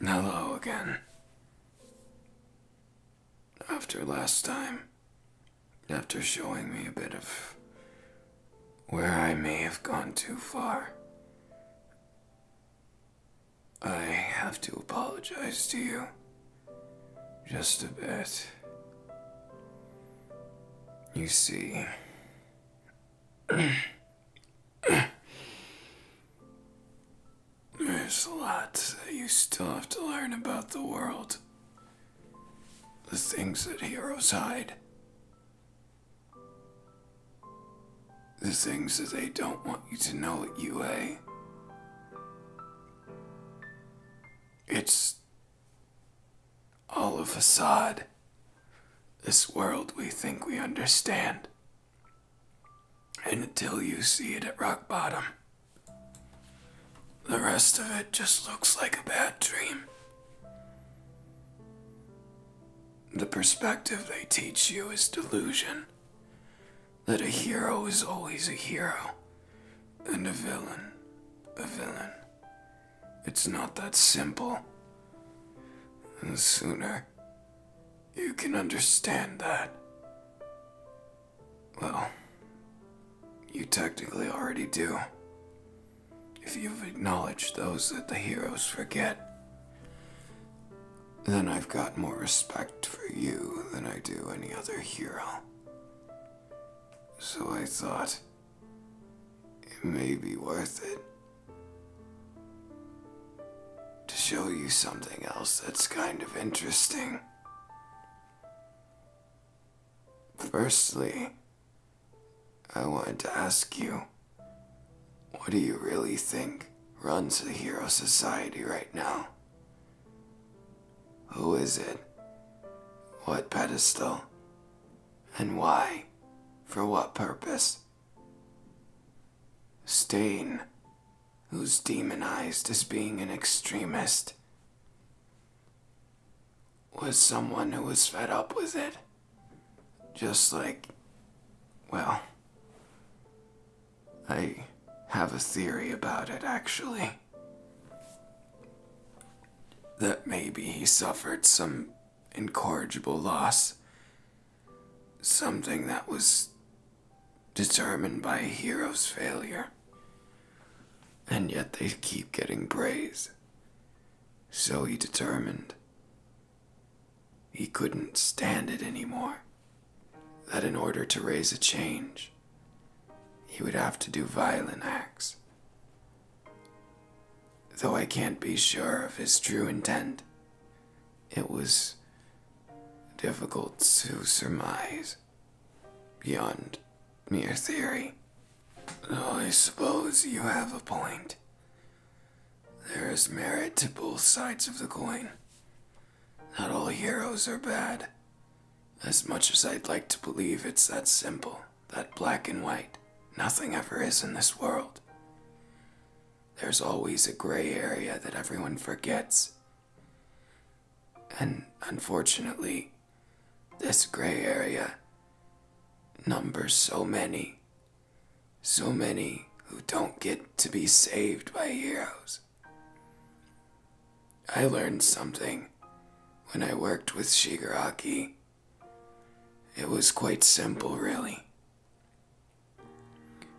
Hello again. After last time, after showing me a bit of where I may have gone too far, I have to apologize to you. Just a bit. You see, There's a lot that you still have to learn about the world. The things that heroes hide. The things that they don't want you to know you UA. It's all a facade. This world we think we understand. And until you see it at rock bottom, the rest of it just looks like a bad dream. The perspective they teach you is delusion that a hero is always a hero and a villain a villain. It's not that simple. The sooner you can understand that. Well, you technically already do. If you've acknowledged those that the heroes forget, then I've got more respect for you than I do any other hero. So I thought it may be worth it to show you something else that's kind of interesting. Firstly, I wanted to ask you, what do you really think runs the Hero Society right now? Who is it? What pedestal? And why? For what purpose? Stain, who's demonized as being an extremist, was someone who was fed up with it. Just like, well, I have a theory about it actually. That maybe he suffered some incorrigible loss something that was determined by a hero's failure. And yet they keep getting praise. So he determined he couldn't stand it anymore. That in order to raise a change, he would have to do violent acts. Though I can't be sure of his true intent, it was difficult to surmise beyond mere theory. I suppose you have a point. There is merit to both sides of the coin. Not all heroes are bad. As much as I'd like to believe it's that simple, that black and white, nothing ever is in this world there's always a gray area that everyone forgets. And unfortunately, this gray area numbers so many, so many who don't get to be saved by heroes. I learned something when I worked with Shigaraki. It was quite simple, really.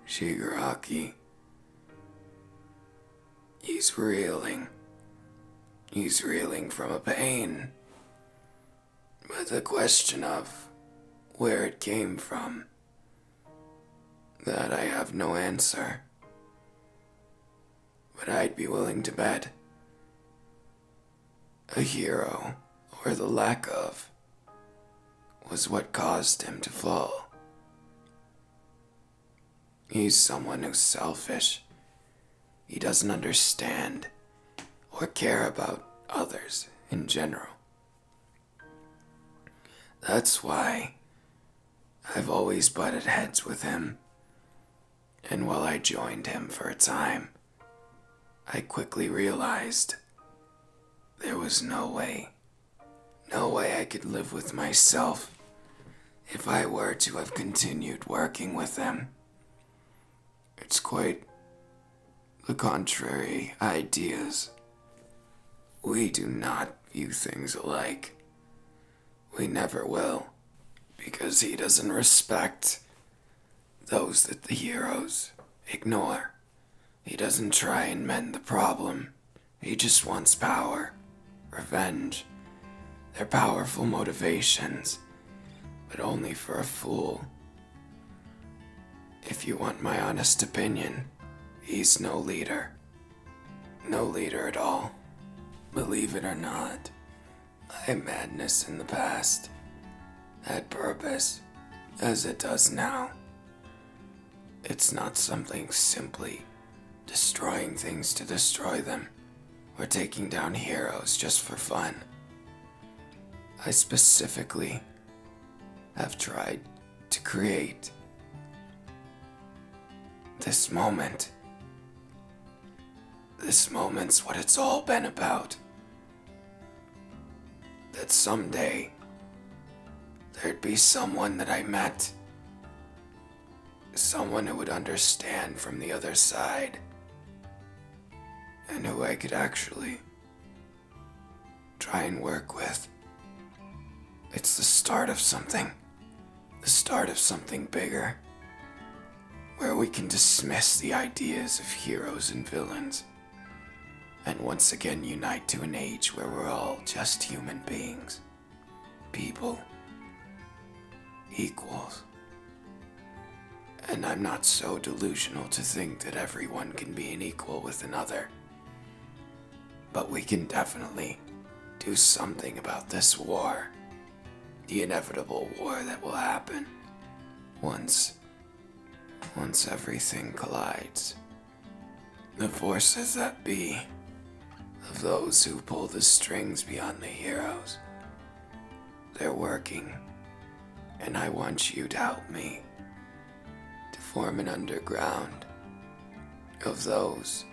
Shigeraki. He's reeling. He's reeling from a pain. With a question of where it came from. That I have no answer. But I'd be willing to bet. A hero, or the lack of, was what caused him to fall. He's someone who's selfish. He doesn't understand or care about others in general. That's why I've always butted heads with him. And while I joined him for a time, I quickly realized there was no way no way I could live with myself if I were to have continued working with them. It's quite the contrary ideas. We do not view things alike. We never will, because he doesn't respect those that the heroes ignore. He doesn't try and mend the problem. He just wants power, revenge. They're powerful motivations, but only for a fool. If you want my honest opinion, he's no leader. No leader at all. Believe it or not, I had madness in the past. Had purpose, as it does now. It's not something simply destroying things to destroy them, or taking down heroes just for fun. I specifically have tried to create this moment. This moment's what it's all been about that someday there'd be someone that I met, someone who would understand from the other side, and who I could actually try and work with. It's the start of something, the start of something bigger, where we can dismiss the ideas of heroes and villains and once again unite to an age where we're all just human beings, people, equals. And I'm not so delusional to think that everyone can be an equal with another. But we can definitely do something about this war. The inevitable war that will happen once, once everything collides. The forces that be, of those who pull the strings beyond the heroes, they're working, and I want you to help me to form an underground of those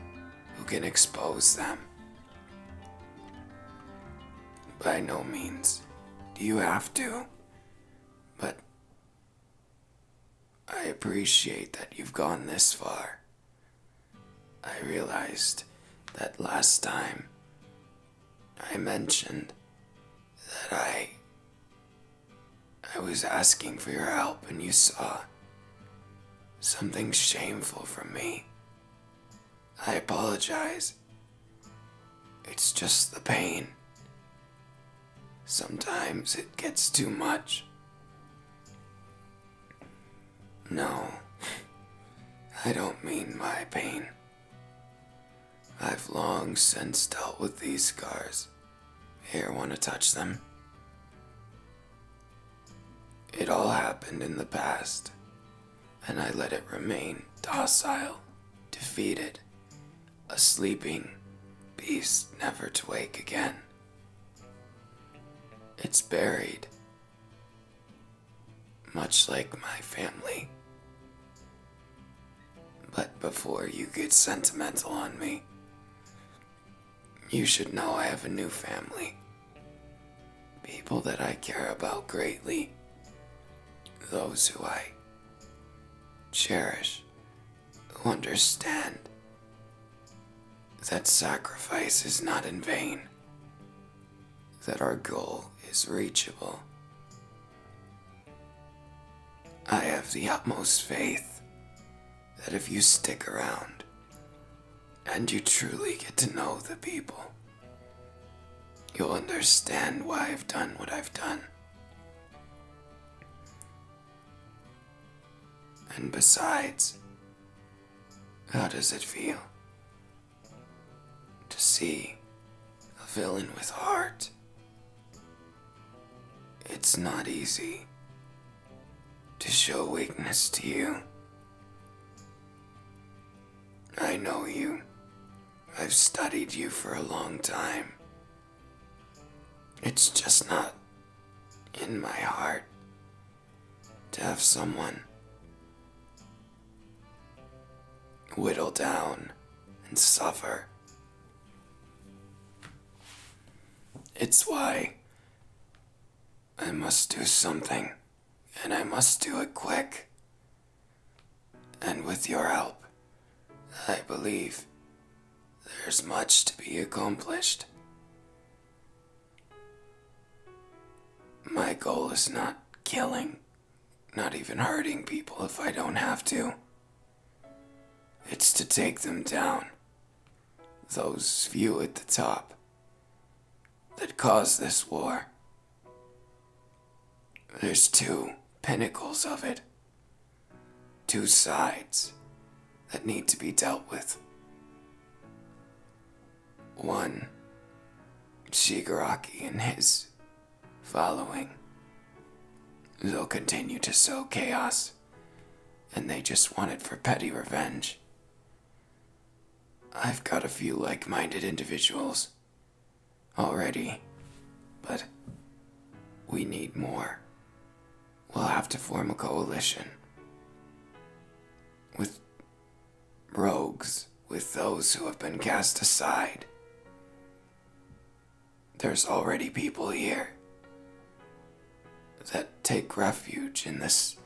who can expose them. By no means do you have to, but I appreciate that you've gone this far. I realized that last time I mentioned that I. I was asking for your help and you saw something shameful from me. I apologize. It's just the pain Sometimes it gets too much. No, I don't mean my pain. I've long since dealt with these scars. Here, want to touch them? It all happened in the past, and I let it remain docile, defeated, a sleeping beast never to wake again. It's buried, much like my family. But before you get sentimental on me, you should know I have a new family. People that I care about greatly. Those who I cherish who understand that sacrifice is not in vain, that our goal is reachable. I have the utmost faith that if you stick around and you truly get to know the people, you'll understand why I've done what I've done and besides, how does it feel to see a villain with heart? It's not easy to show weakness to you. I know you. I've studied you for a long time. It's just not in my heart to have someone whittle down and suffer. It's why I must do something, and I must do it quick. And with your help, I believe there's much to be accomplished. My goal is not killing, not even hurting people if I don't have to. It's to take them down. Those few at the top that caused this war. There's two pinnacles of it two sides that need to be dealt with. One, Shigaraki and his following. They'll continue to sow chaos, and they just want it for petty revenge. I've got a few like minded individuals already, but we need more. We'll have to form a coalition with rogues, with those who have been cast aside. There's already people here that take refuge in this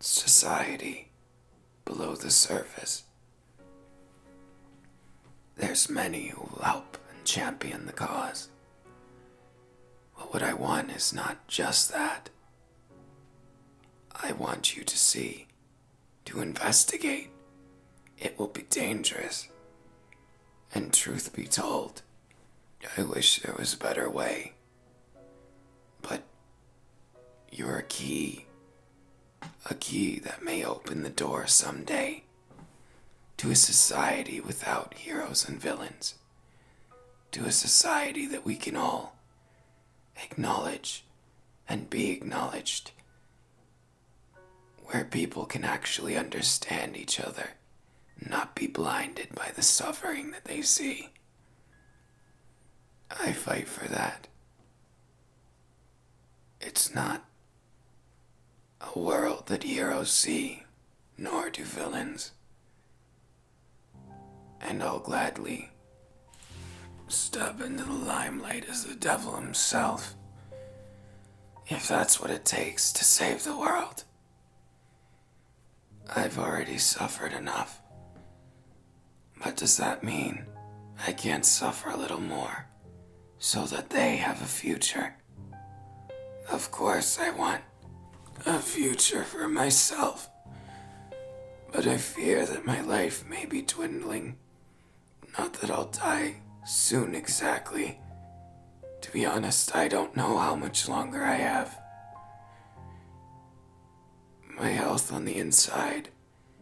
society below the surface. There's many who will help and champion the cause. But what I want is not just that. I want you to see, to investigate. It will be dangerous. And truth be told, I wish there was a better way. But you're a key a key that may open the door someday to a society without heroes and villains, to a society that we can all acknowledge and be acknowledged, where people can actually understand each other, not be blinded by the suffering that they see. I fight for that. It's not a world that heroes see, nor do villains. And I'll gladly step into the limelight as the devil himself, if that's what it takes to save the world. I've already suffered enough. But does that mean I can't suffer a little more? so that they have a future. Of course, I want a future for myself, but I fear that my life may be dwindling. Not that I'll die soon exactly. To be honest, I don't know how much longer I have. My health on the inside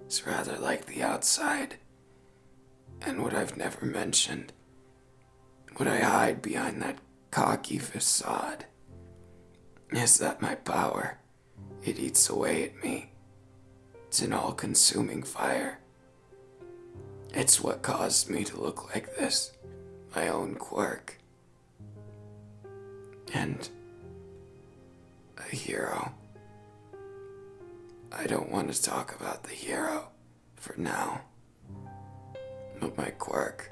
is rather like the outside. And what I've never mentioned, what I hide behind that cocky facade, is that my power, it eats away at me. It's an all consuming fire. It's what caused me to look like this, my own quirk. And a hero I don't want to talk about the hero for now, but my quirk.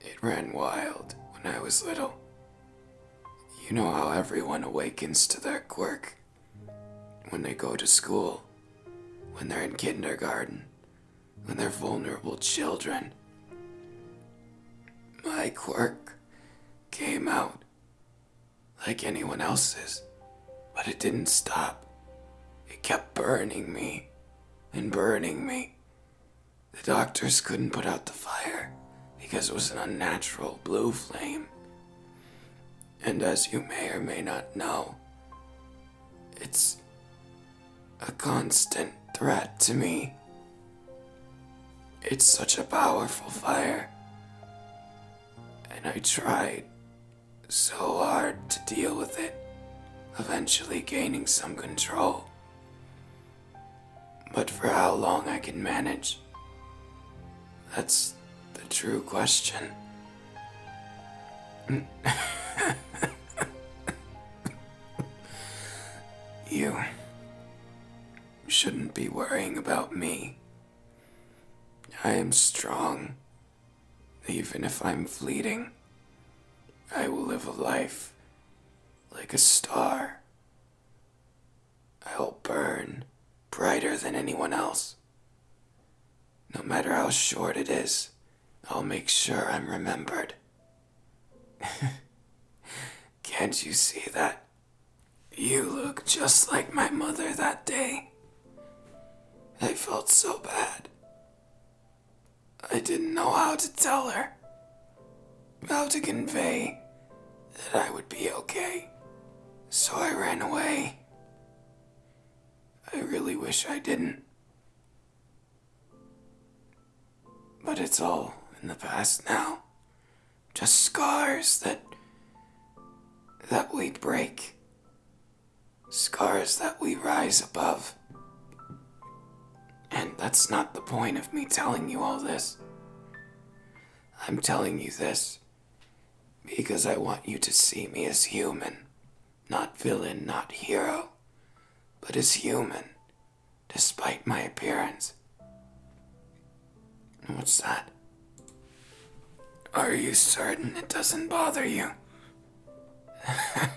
It ran wild when I was little. You know how everyone awakens to their quirk when they go to school, when they're in kindergarten, when they're vulnerable children. My quirk came out like anyone else's, but it didn't stop. It kept burning me and burning me. The doctors couldn't put out the fire because it was an unnatural blue flame. And as you may or may not know, it's a constant threat to me. It's such a powerful fire and I tried so hard to deal with it, eventually gaining some control. But for how long I can manage, that's the true question. you shouldn't be worrying about me. I am strong. Even if I'm fleeting, I will live a life like a star. I'll burn brighter than anyone else. No matter how short it is, I'll make sure I'm remembered. Can't you see that? You look just like my mother that day. I felt so bad. I didn't know how to tell her, how to convey that I would be okay. So I ran away. I really wish I didn't. But it's all in the past now just scars that that we break scars that we rise above and that's not the point of me telling you all this i'm telling you this because i want you to see me as human not villain not hero but as human despite my appearance What's that? Are you certain it doesn't bother you? that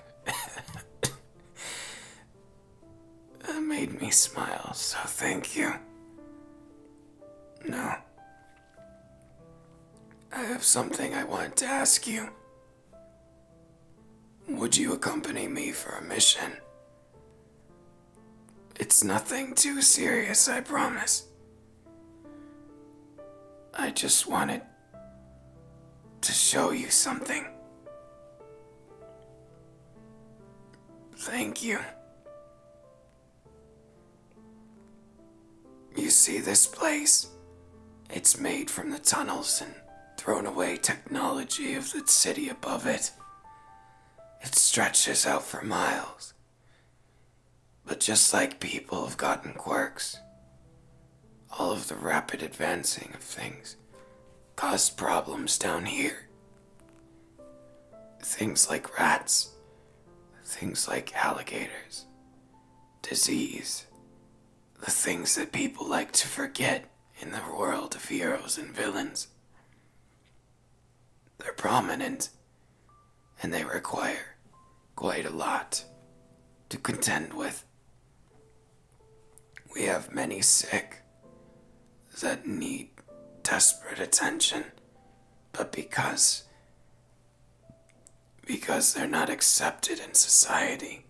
made me smile, so thank you. No. I have something I wanted to ask you. Would you accompany me for a mission? It's nothing too serious, I promise. I just wanted to show you something. Thank you. You see this place? It's made from the tunnels and thrown away technology of the city above it. It stretches out for miles but just like people have gotten quirks, all of the rapid advancing of things caused problems down here. Things like rats, things like alligators, disease, the things that people like to forget in the world of heroes and villains. They're prominent, and they require quite a lot to contend with. We have many sick that need desperate attention, but because because they're not accepted in society,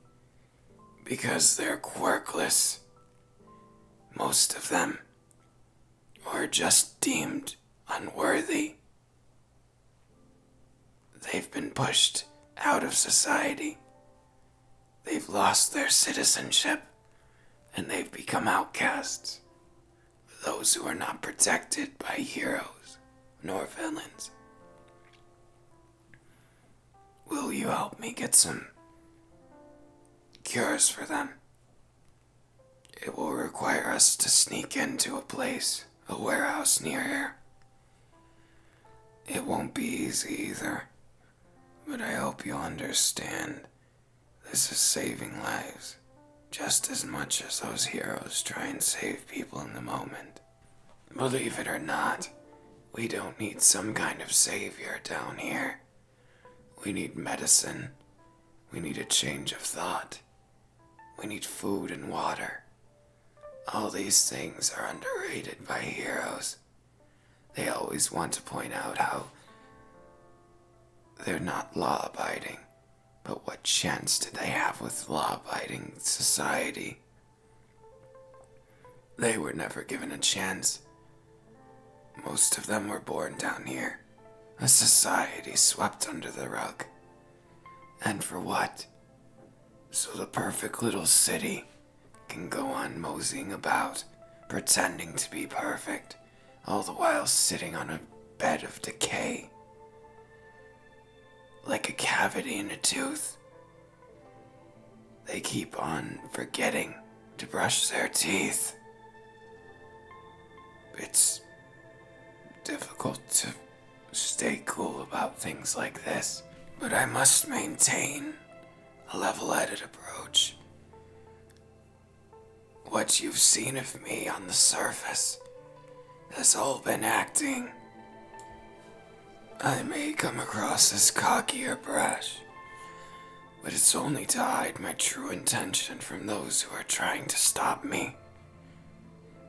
because they're quirkless, most of them or just deemed unworthy. They've been pushed out of society. They've lost their citizenship and they've become outcasts. Those who are not protected by heroes nor villains. Will you help me get some cures for them? It will require us to sneak into a place, a warehouse near here. It won't be easy either, but I hope you will understand this is saving lives just as much as those heroes try and save people in the moment. Believe it or not, we don't need some kind of savior down here. We need medicine. We need a change of thought. We need food and water. All these things are underrated by heroes. They always want to point out how they're not law abiding. But what chance did they have with law abiding society? They were never given a chance. Most of them were born down here. A society swept under the rug. And for what? So the perfect little city can go on moseying about, pretending to be perfect, all the while sitting on a bed of decay. Like a cavity in a tooth. They keep on forgetting to brush their teeth. It's difficult to stay cool about things like this, but I must maintain a level headed approach. What you've seen of me on the surface has all been acting. I may come across as cocky or brash, but it's only to hide my true intention from those who are trying to stop me.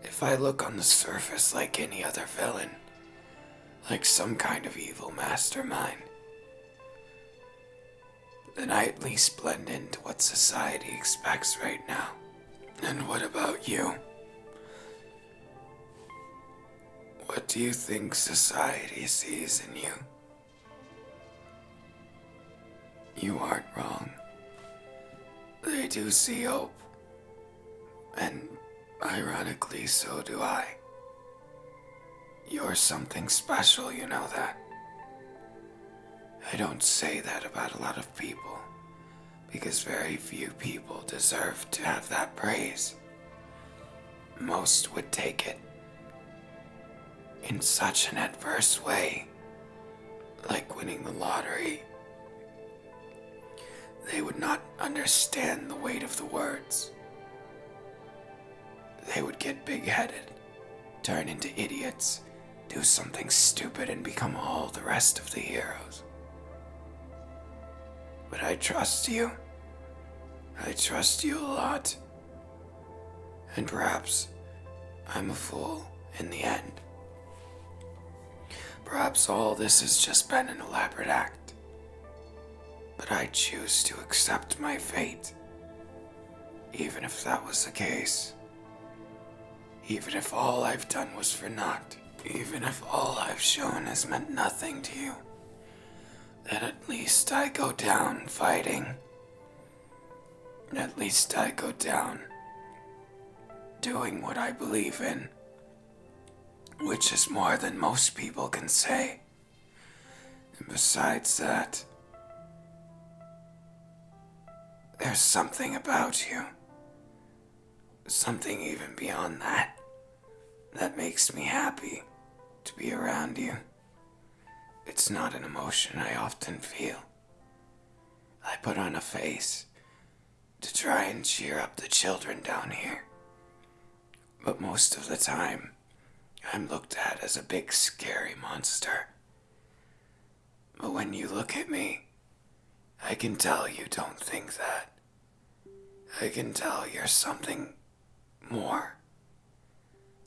If I look on the surface like any other villain, like some kind of evil mastermind, then I at least blend into what society expects right now. And what about you? What do you think society sees in you? You aren't wrong. They do see hope. And ironically, so do I. You're something special, you know that. I don't say that about a lot of people, because very few people deserve to have that praise. Most would take it in such an adverse way, like winning the lottery. They would not understand the weight of the words. They would get big headed, turn into idiots, do something stupid, and become all the rest of the heroes. But I trust you. I trust you a lot. And perhaps I'm a fool in the end. Perhaps all this has just been an elaborate act. But I choose to accept my fate. Even if that was the case. Even if all I've done was for naught. Even if all I've shown has meant nothing to you. Then at least I go down fighting. At least I go down doing what I believe in, which is more than most people can say. And besides that, there's something about you, something even beyond that, that makes me happy to be around you. It's not an emotion I often feel. I put on a face to try and cheer up the children down here. But most of the time, I'm looked at as a big scary monster. But when you look at me, I can tell you don't think that. I can tell you're something more.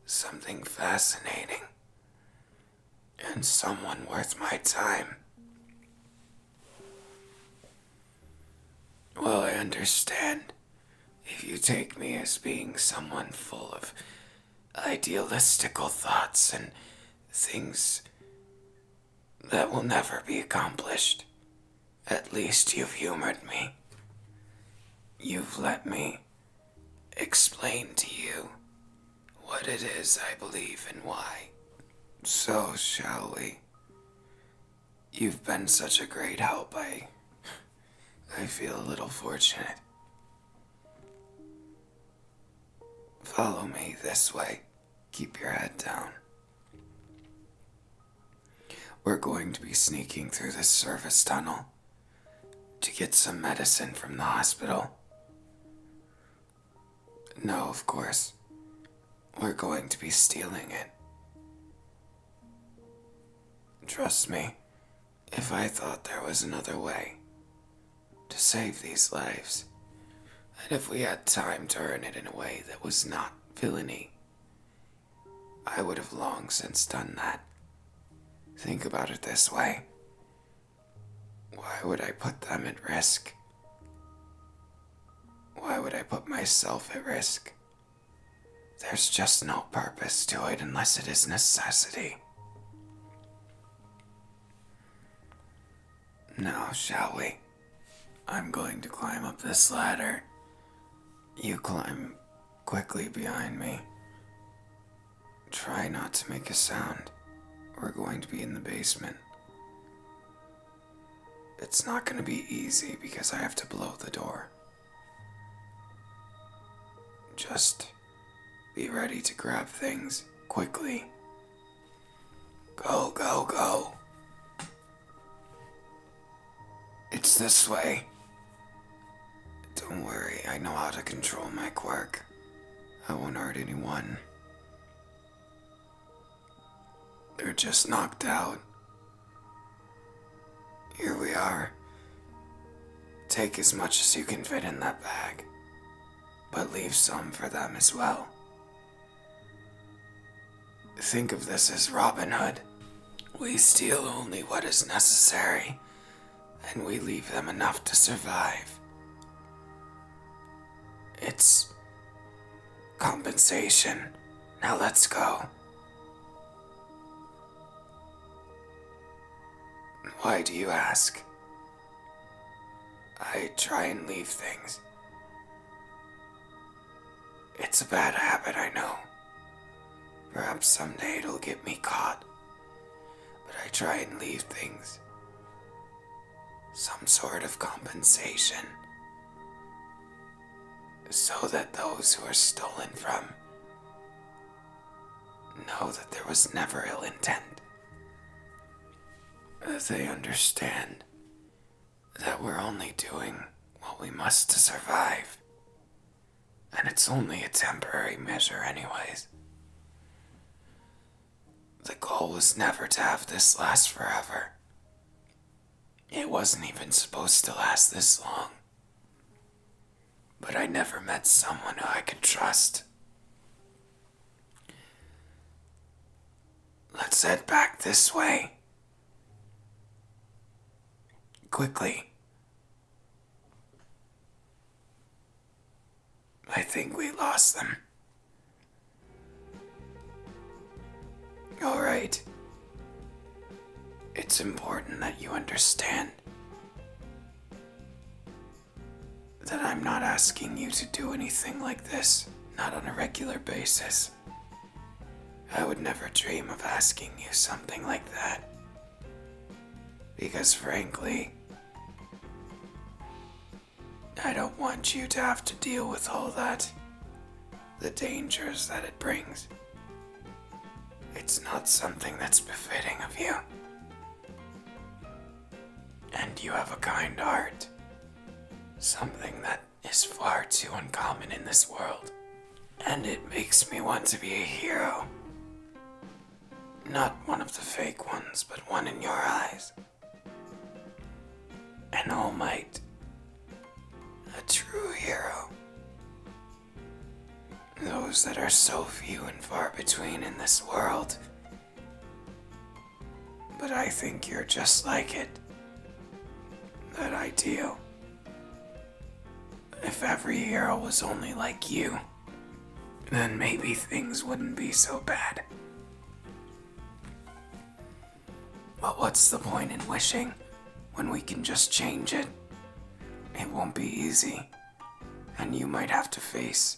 Something fascinating and someone worth my time. Well, I understand if you take me as being someone full of idealistical thoughts and things that will never be accomplished. At least you've humored me. You've let me explain to you what it is I believe and why. So, shall we? You've been such a great help. I. I feel a little fortunate. Follow me this way. Keep your head down. We're going to be sneaking through this service tunnel to get some medicine from the hospital. No, of course. We're going to be stealing it. Trust me, if I thought there was another way to save these lives, and if we had time to earn it in a way that was not villainy, I would have long since done that. Think about it this way why would I put them at risk? Why would I put myself at risk? There's just no purpose to it unless it is necessity. Now, shall we? I'm going to climb up this ladder. You climb quickly behind me. Try not to make a sound. We're going to be in the basement. It's not going to be easy because I have to blow the door. Just be ready to grab things quickly. Go, go, go. It's this way. Don't worry, I know how to control my quirk. I won't hurt anyone. They're just knocked out. Here we are. Take as much as you can fit in that bag, but leave some for them as well. Think of this as Robin Hood. We steal only what is necessary and we leave them enough to survive. It's compensation. Now let's go. Why do you ask? I try and leave things. It's a bad habit, I know. Perhaps someday it'll get me caught. But I try and leave things. Some sort of compensation. So that those who are stolen from know that there was never ill intent. they understand that we're only doing what we must to survive. And it's only a temporary measure, anyways. The goal was never to have this last forever. It wasn't even supposed to last this long. But I never met someone I could trust. Let's head back this way. Quickly, I think we lost them. Alright. It's important that you understand that I'm not asking you to do anything like this, not on a regular basis. I would never dream of asking you something like that. Because frankly, I don't want you to have to deal with all that. The dangers that it brings. It's not something that's befitting of you. And you have a kind heart. Something that is far too uncommon in this world. And it makes me want to be a hero. Not one of the fake ones, but one in your eyes. An All Might. A true hero. Those that are so few and far between in this world. But I think you're just like it. That ideal if every hero was only like you, then maybe things wouldn't be so bad. But what's the point in wishing when we can just change it? It won't be easy, and you might have to face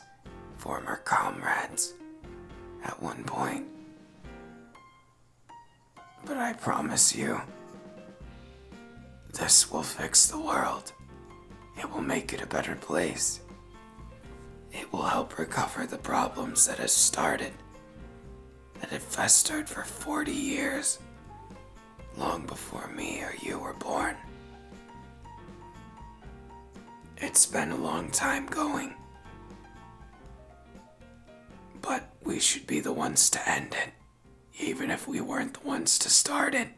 former comrades at one point. But I promise you, this will fix the world. It will make it a better place. It will help recover the problems that have started, that have festered for 40 years, long before me or you were born. It's been a long time going, but we should be the ones to end it, even if we weren't the ones to start it.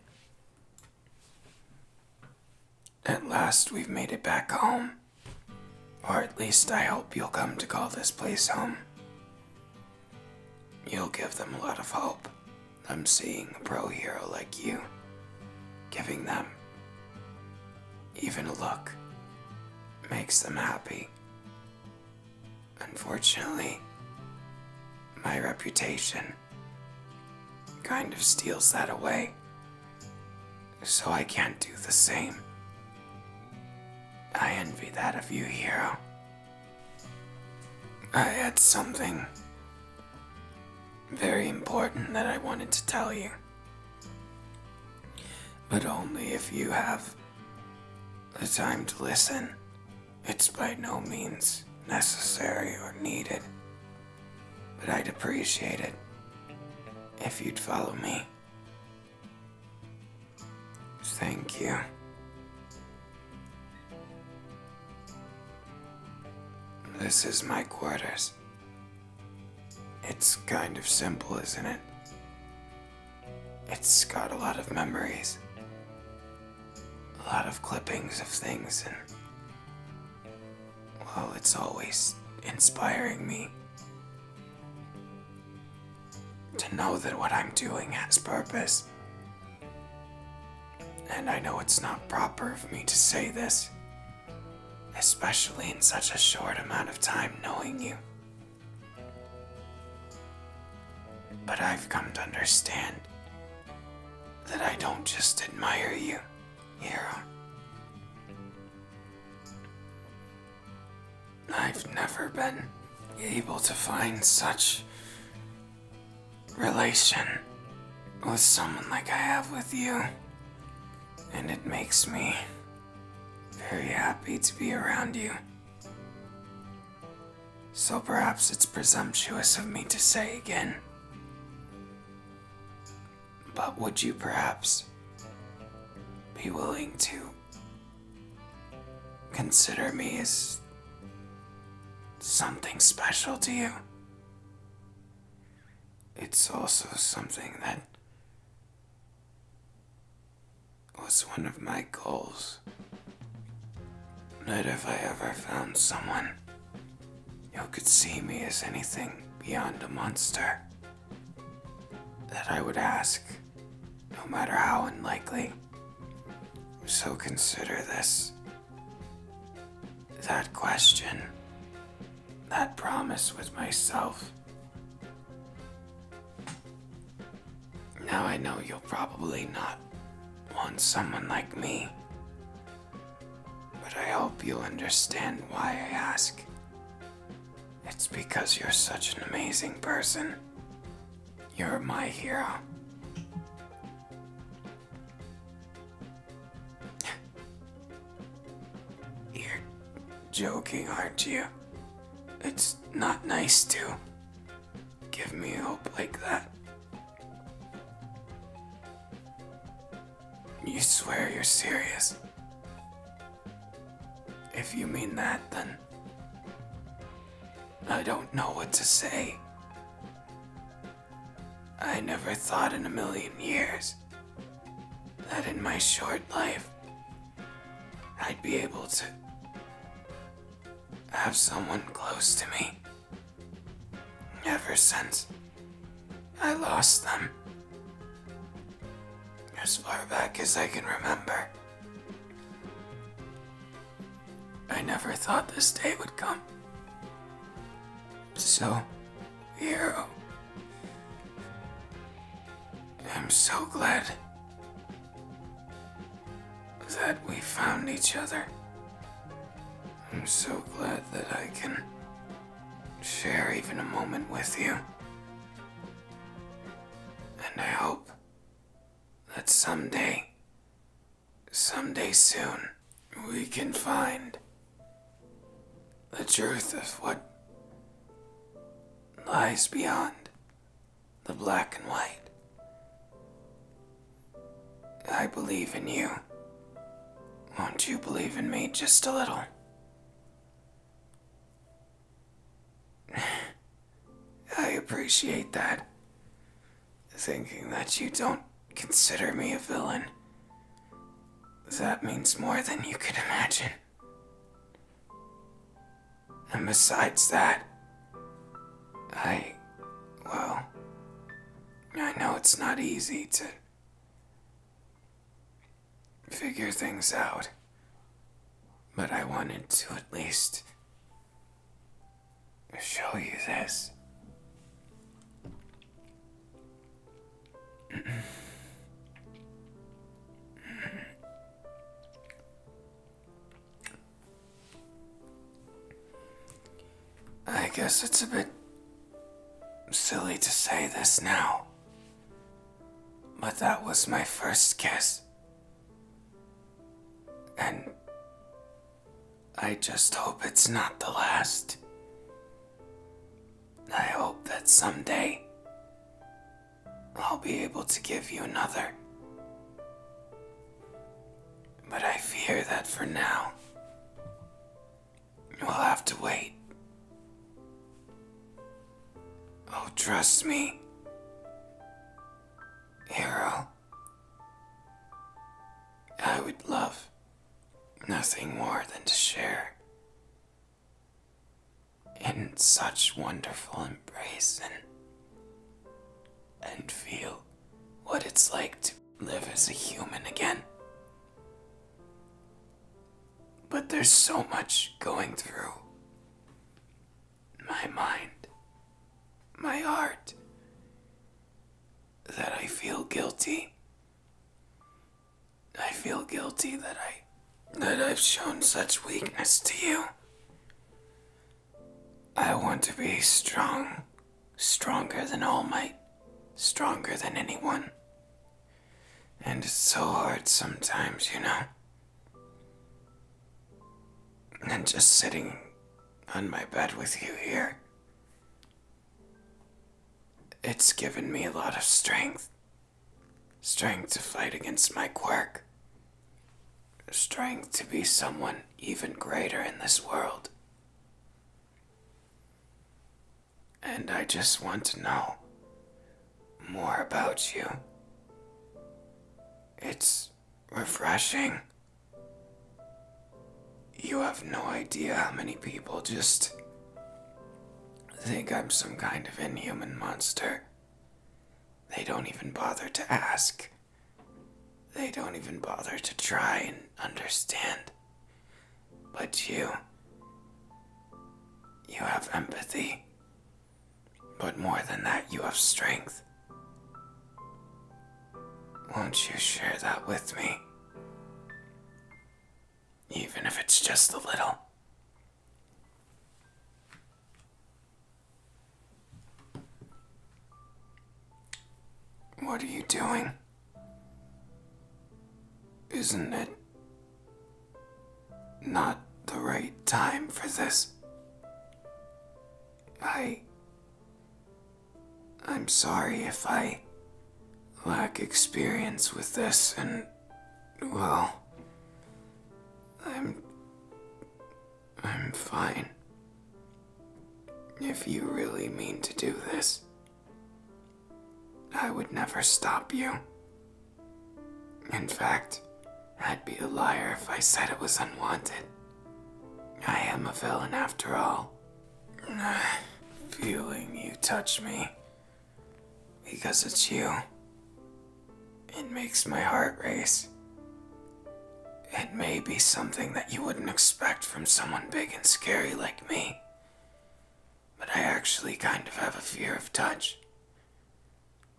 At last, we've made it back home. Or at least, I hope you'll come to call this place home. You'll give them a lot of hope. I'm seeing a pro hero like you, giving them even a look, makes them happy. Unfortunately, my reputation kind of steals that away. So I can't do the same. I envy that of you, hero. I had something very important that I wanted to tell you. But only if you have the time to listen. It's by no means necessary or needed, but I'd appreciate it if you'd follow me. Thank you. This is my quarters. It's kind of simple, isn't it? It's got a lot of memories a lot of clippings of things, and well, it's always inspiring me to know that what I'm doing has purpose. And I know it's not proper for me to say this, especially in such a short amount of time knowing you. But I've come to understand that I don't just admire you, Hero. I've never been able to find such relation with someone like I have with you. And it makes me very happy to be around you. So perhaps it's presumptuous of me to say again. But would you perhaps be willing to consider me as something special to you? It's also something that was one of my goals. Not if I ever found someone who could see me as anything beyond a monster. That I would ask, no matter how unlikely. So consider this. That question, that promise with myself. Now I know you'll probably not Want someone like me. But I hope you'll understand why I ask. It's because you're such an amazing person. You're my hero. You're joking, aren't you? It's not nice to give me hope like that. You swear you're serious. If you mean that, then I don't know what to say. I never thought in a million years that in my short life I'd be able to have someone close to me Ever since I lost them, as far back as I can remember, I never thought this day would come. So, here, I'm so glad that we found each other. I'm so glad that I can share even a moment with you. And I hope that someday, someday soon, we can find the truth of what lies beyond the black and white. I believe in you. Won't you believe in me just a little? I appreciate that. Thinking that you don't consider me a villain. That means more than you could imagine. And besides that, I. Well. I know it's not easy to. figure things out. But I wanted to at least. show you this. I guess it's a bit silly to say this now, but that was my first guess, And I just hope it's not the last. I hope that someday I'll be able to give you another. But I fear that for now, we'll have to wait. Oh, trust me, Hero. I would love nothing more than to share in such wonderful embrace and, and feel what it's like to live as a human again. But there's so much going through my mind, my heart, that I feel guilty. I feel guilty that I that I've shown such weakness to you. I want to be strong, stronger than All Might, stronger than anyone. And it's so hard sometimes, you know. And just sitting on my bed with you here, it's given me a lot of strength. Strength to fight against my quirk. Strength to be someone even greater in this world. And I just want to know more about you. It's refreshing. You have no idea how many people just think I'm some kind of inhuman monster. They don't even bother to ask. They don't even bother to try and understand. But you. You have empathy. But more than that, you have strength. Won't you share that with me? Even if it's just a little. What are you doing? Isn't it not the right time for this? I. I'm sorry if I lack experience with this and. well. I'm I'm fine. If you really mean to do this, I would never stop you. In fact, I'd be a liar if I said it was unwanted. I am a villain after all. Feeling you touch me because it's you, it makes my heart race. It may be something that you wouldn't expect from someone big and scary like me. But I actually kind of have a fear of touch.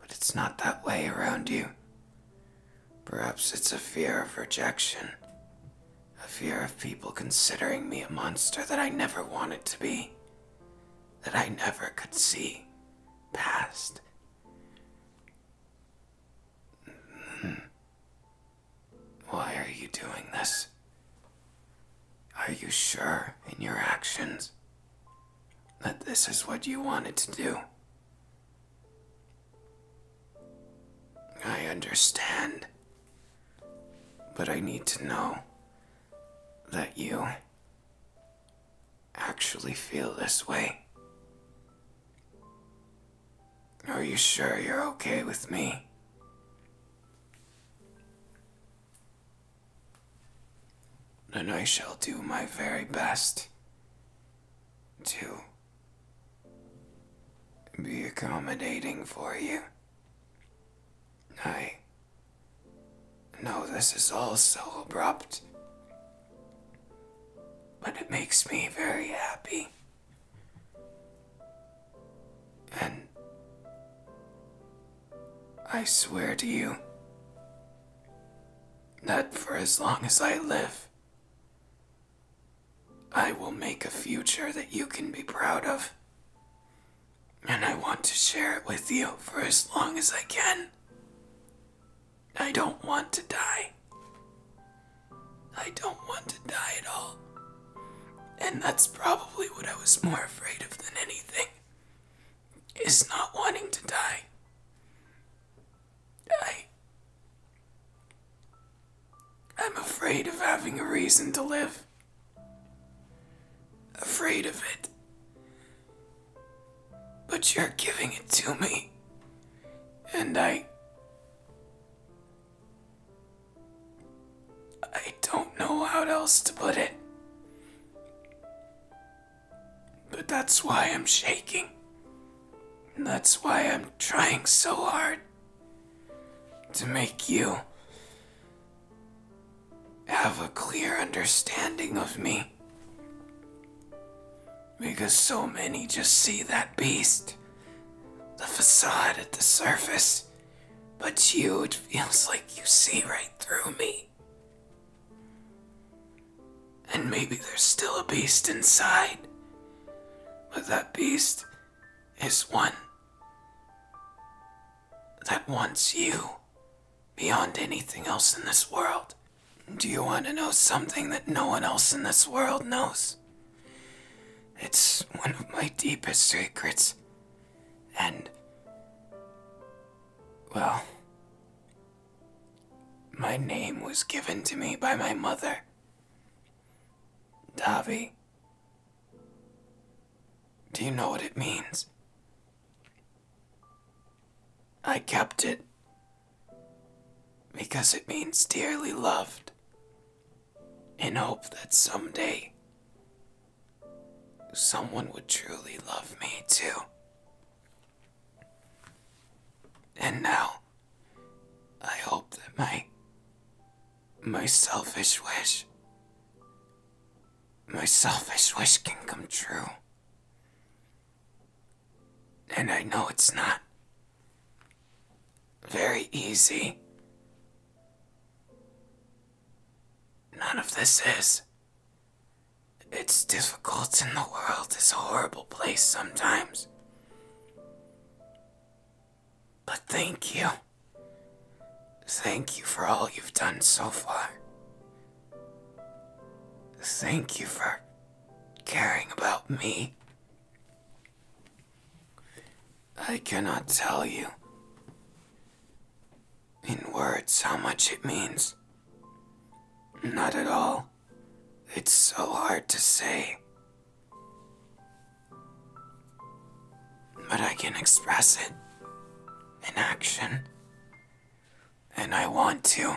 But it's not that way around you. Perhaps it's a fear of rejection. A fear of people considering me a monster that I never wanted to be. That I never could see past. Hmm. Why are you doing this? Are you sure in your actions that this is what you wanted to do? I understand. But I need to know that you actually feel this way. Are you sure you're okay with me? Then I shall do my very best to be accommodating for you. I know this is all so abrupt, but it makes me very happy. And I swear to you that for as long as I live, I will make a future that you can be proud of. And I want to share it with you for as long as I can. I don't want to die. I don't want to die at all. And that's probably what I was more afraid of than anything. Is not wanting to die. I. am afraid of having a reason to live. Afraid of it. But you're giving it to me. And I. I don't know how else to put it. But that's why I'm shaking. And that's why I'm trying so hard to make you have a clear understanding of me. Because so many just see that beast, the facade at the surface. But you, it feels like you see right through me. And maybe there's still a beast inside. But that beast is one that wants you beyond anything else in this world. Do you want to know something that no one else in this world knows? It's one of my deepest secrets. And. Well. My name was given to me by my mother. Davi. Do you know what it means? I kept it because it means dearly loved, and hope that someday someone would truly love me too. And now, I hope that my my selfish wish my selfish wish can come true. And I know it's not very easy. None of this is. It's difficult, in the world It's a horrible place sometimes. But thank you. Thank you for all you've done so far. Thank you for caring about me. I cannot tell you in words how much it means. Not at all. It's so hard to say. But I can express it in action. And I want to.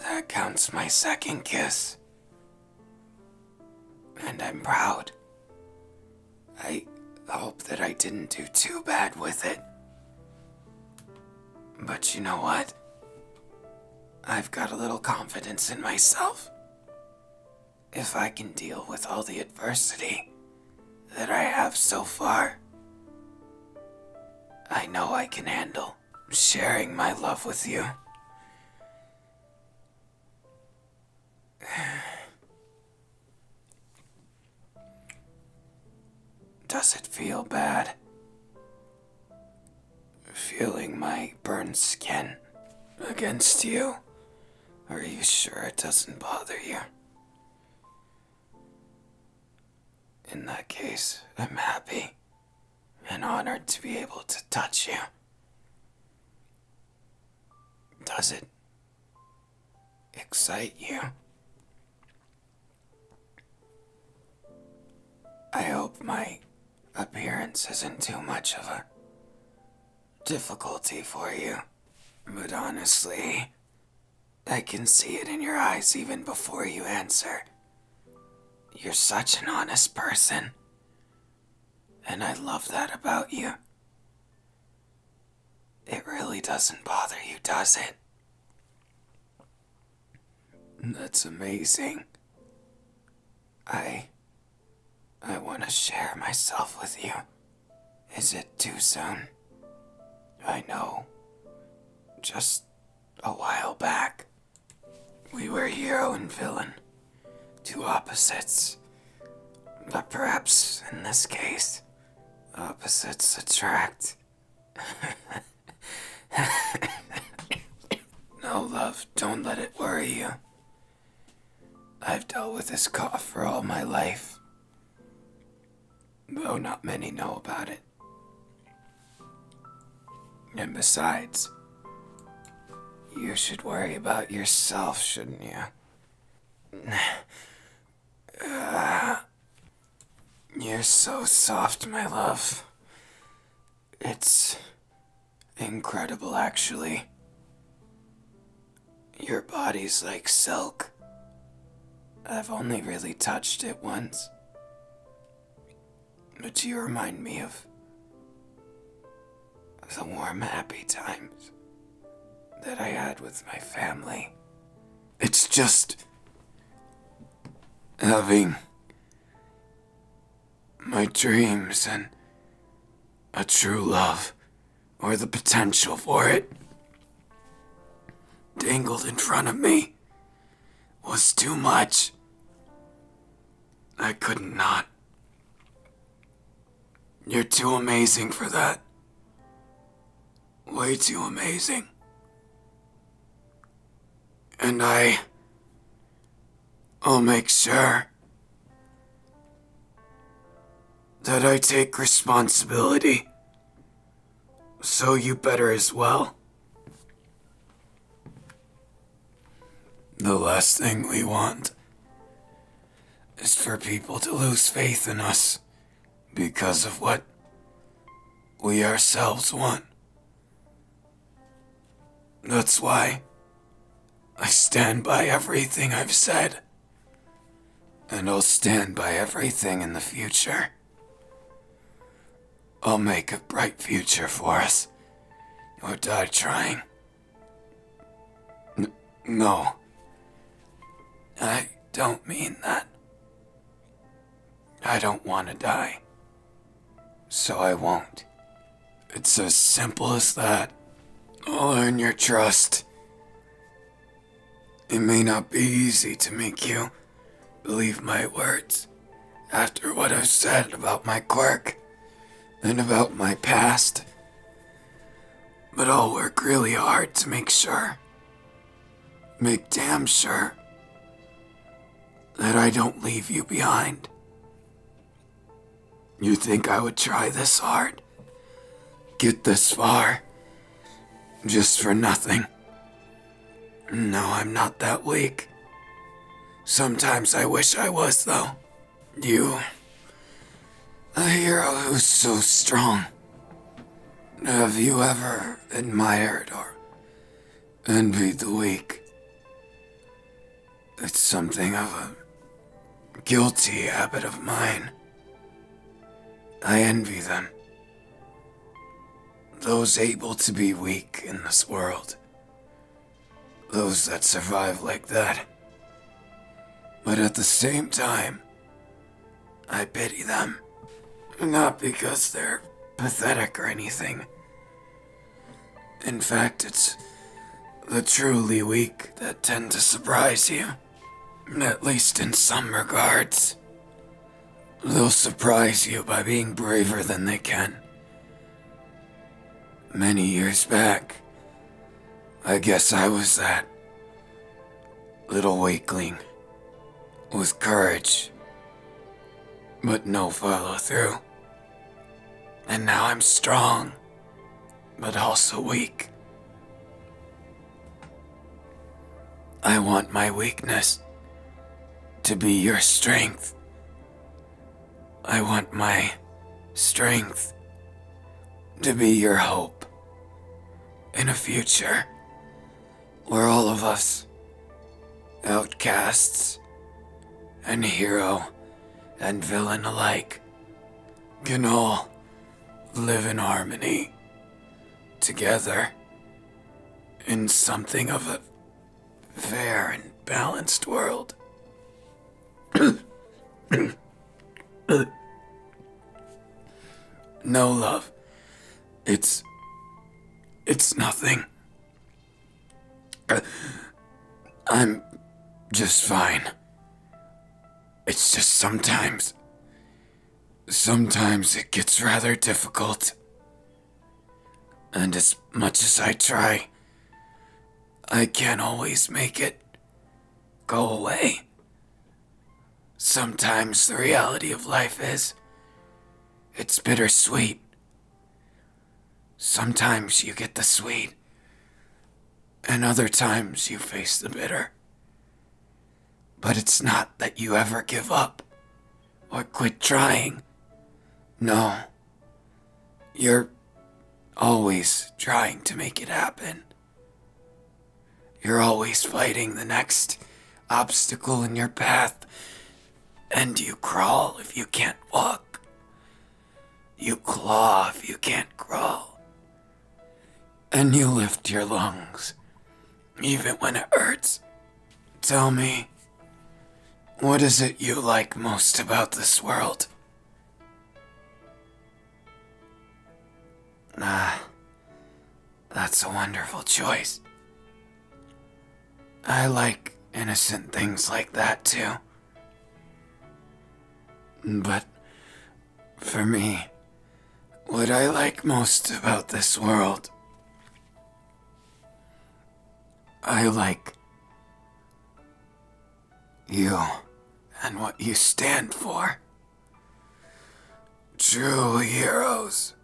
That counts my second kiss. And I'm proud. I hope that I didn't do too bad with it. But you know what? I've got a little confidence in myself. If I can deal with all the adversity, that I have so far. I know I can handle sharing my love with you. Does it feel bad? Feeling my burned skin against you? Are you sure it doesn't bother you? In that case, I'm happy and honored to be able to touch you. Does it excite you? I hope my appearance isn't too much of a difficulty for you. But honestly, I can see it in your eyes even before you answer. You're such an honest person. And I love that about you. It really doesn't bother you, does it? That's amazing. I. I want to share myself with you. Is it too soon? I know. Just a while back, we were hero and villain, two opposites. But perhaps in this case, opposites attract. no, love, don't let it worry you. I've dealt with this cough for all my life though not many know about it. And besides, you should worry about yourself, shouldn't you? you're so soft, my love. It's incredible, actually. Your body's like silk. I've only really touched it once. But you remind me of the warm, happy times that I had with my family. It's just having my dreams and a true love or the potential for it, dangled in front of me was too much. I couldn't not. You're too amazing for that. Way too amazing. And I. I'll make sure that I take responsibility so you better as well? The last thing we want is for people to lose faith in us because of what we ourselves want. That's why I stand by everything I've said. And I'll stand by everything in the future. I'll make a bright future for us. Or die trying. no. I don't mean that. I don't want to die. So I won't. It's as simple as that. I'll earn your trust. It may not be easy to make you believe my words after what I've said about my quirk and about my past, but I'll work really hard to make sure, make damn sure, that I don't leave you behind. You think I would try this hard? get this far just for nothing. No, I'm not that weak. Sometimes I wish I was, though. You, a hero who's so strong. Have you ever admired or envied the weak? It's something of a guilty habit of mine. I envy them. Those able to be weak in this world. Those that survive like that. But at the same time, I pity them. Not because they're pathetic or anything. In fact, it's the truly weak that tend to surprise you. At least in some regards. They'll surprise you by being braver than they can. Many years back, I guess I was that little weakling with courage, but no follow through. And now I'm strong, but also weak. I want my weakness to be your strength. I want my strength to be your hope in a future where all of us, outcasts and hero and villain alike, can all live in harmony together in something of a fair and balanced world. no love. It's. It's nothing. Uh, I'm just fine. It's just sometimes Sometimes it gets rather difficult. And as much as I try, I can't always make it go away. Sometimes the reality of life is it's bittersweet. Sometimes you get the sweet, and other times you face the bitter. But it's not that you ever give up or quit trying. No. You're always trying to make it happen. You're always fighting the next obstacle in your path. And you crawl if you can't walk. You claw if you can't crawl. And you lift your lungs, even when it hurts. Tell me, what is it you like most about this world? Ah, that's a wonderful choice. I like innocent things like that too. But for me what I like most about this world. I like you and what you stand for. True heroes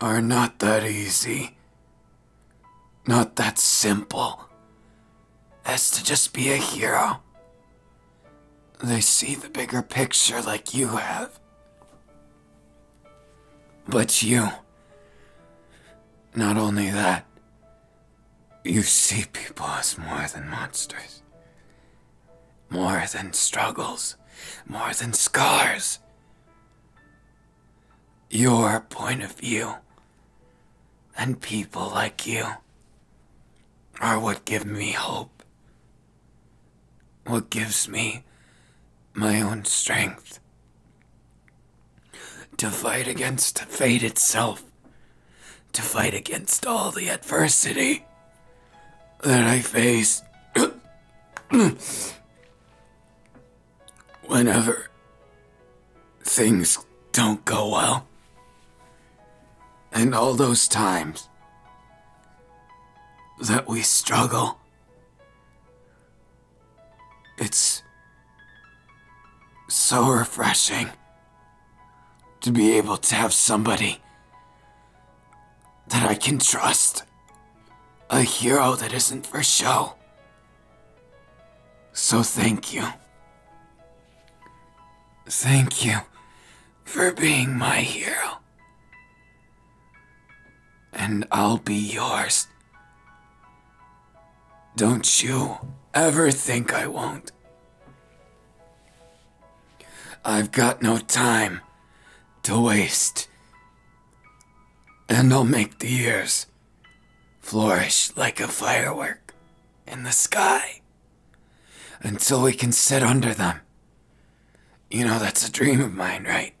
are not that easy, not that simple as to just be a hero. They see the bigger picture like you have. But you. Not only that, you see people as more than monsters, more than struggles, more than scars. Your point of view and people like you are what give me hope what gives me my own strength to fight against fate itself, to fight against all the adversity that I face whenever things don't go well. And all those times that we struggle, it's so refreshing to be able to have somebody that I can trust. A hero that isn't for show. So thank you. Thank you for being my hero. And I'll be yours. Don't you ever think I won't. I've got no time to waste. And I'll make the years flourish like a firework in the sky until we can sit under them. You know, that's a dream of mine, right?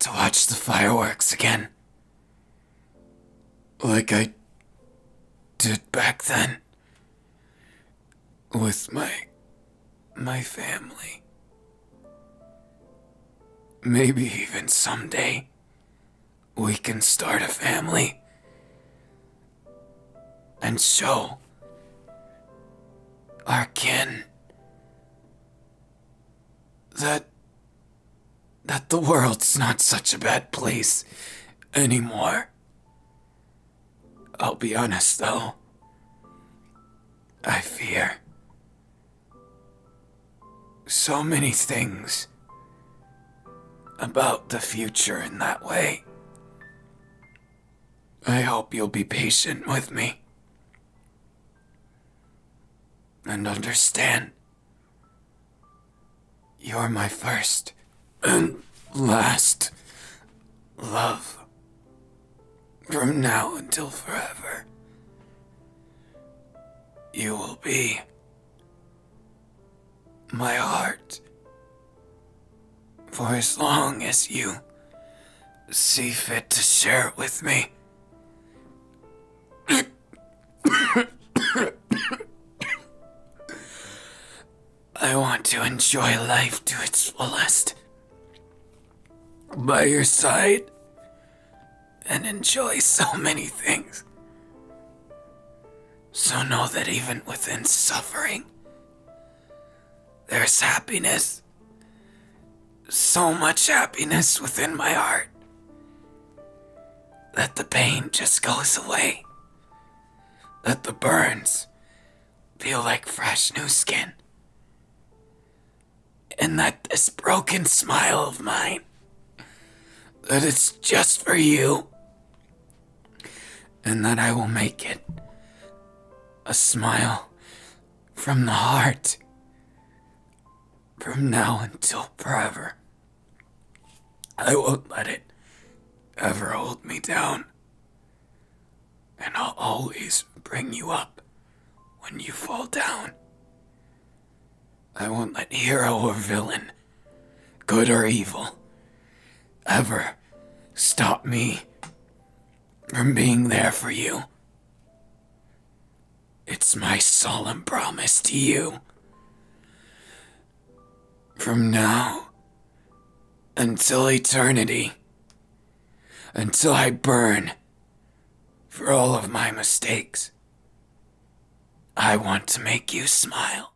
To watch the fireworks again. Like I did back then. With my. my family. Maybe even someday we can start a family and so, our kin. That. that the world's not such a bad place anymore. I'll be honest though. I fear. So many things about the future in that way. I hope you'll be patient with me and understand you're my first and last love from now until forever. You will be my heart. For as long as you see fit to share it with me. I want to enjoy life to its fullest. By your side, and enjoy so many things. So know that even within suffering, there's happiness. So much happiness within my heart that the pain just goes away. That the burns feel like fresh new skin. And that this broken smile of mine, that it's just for you, and that I will make it a smile from the heart from now until forever. I won't let it ever hold me down, and I'll always bring you up when you fall down. I won't let hero or villain good or evil, ever stop me from being there for you. It's my solemn promise to you. From now until eternity, until I burn for all of my mistakes, I want to make you smile.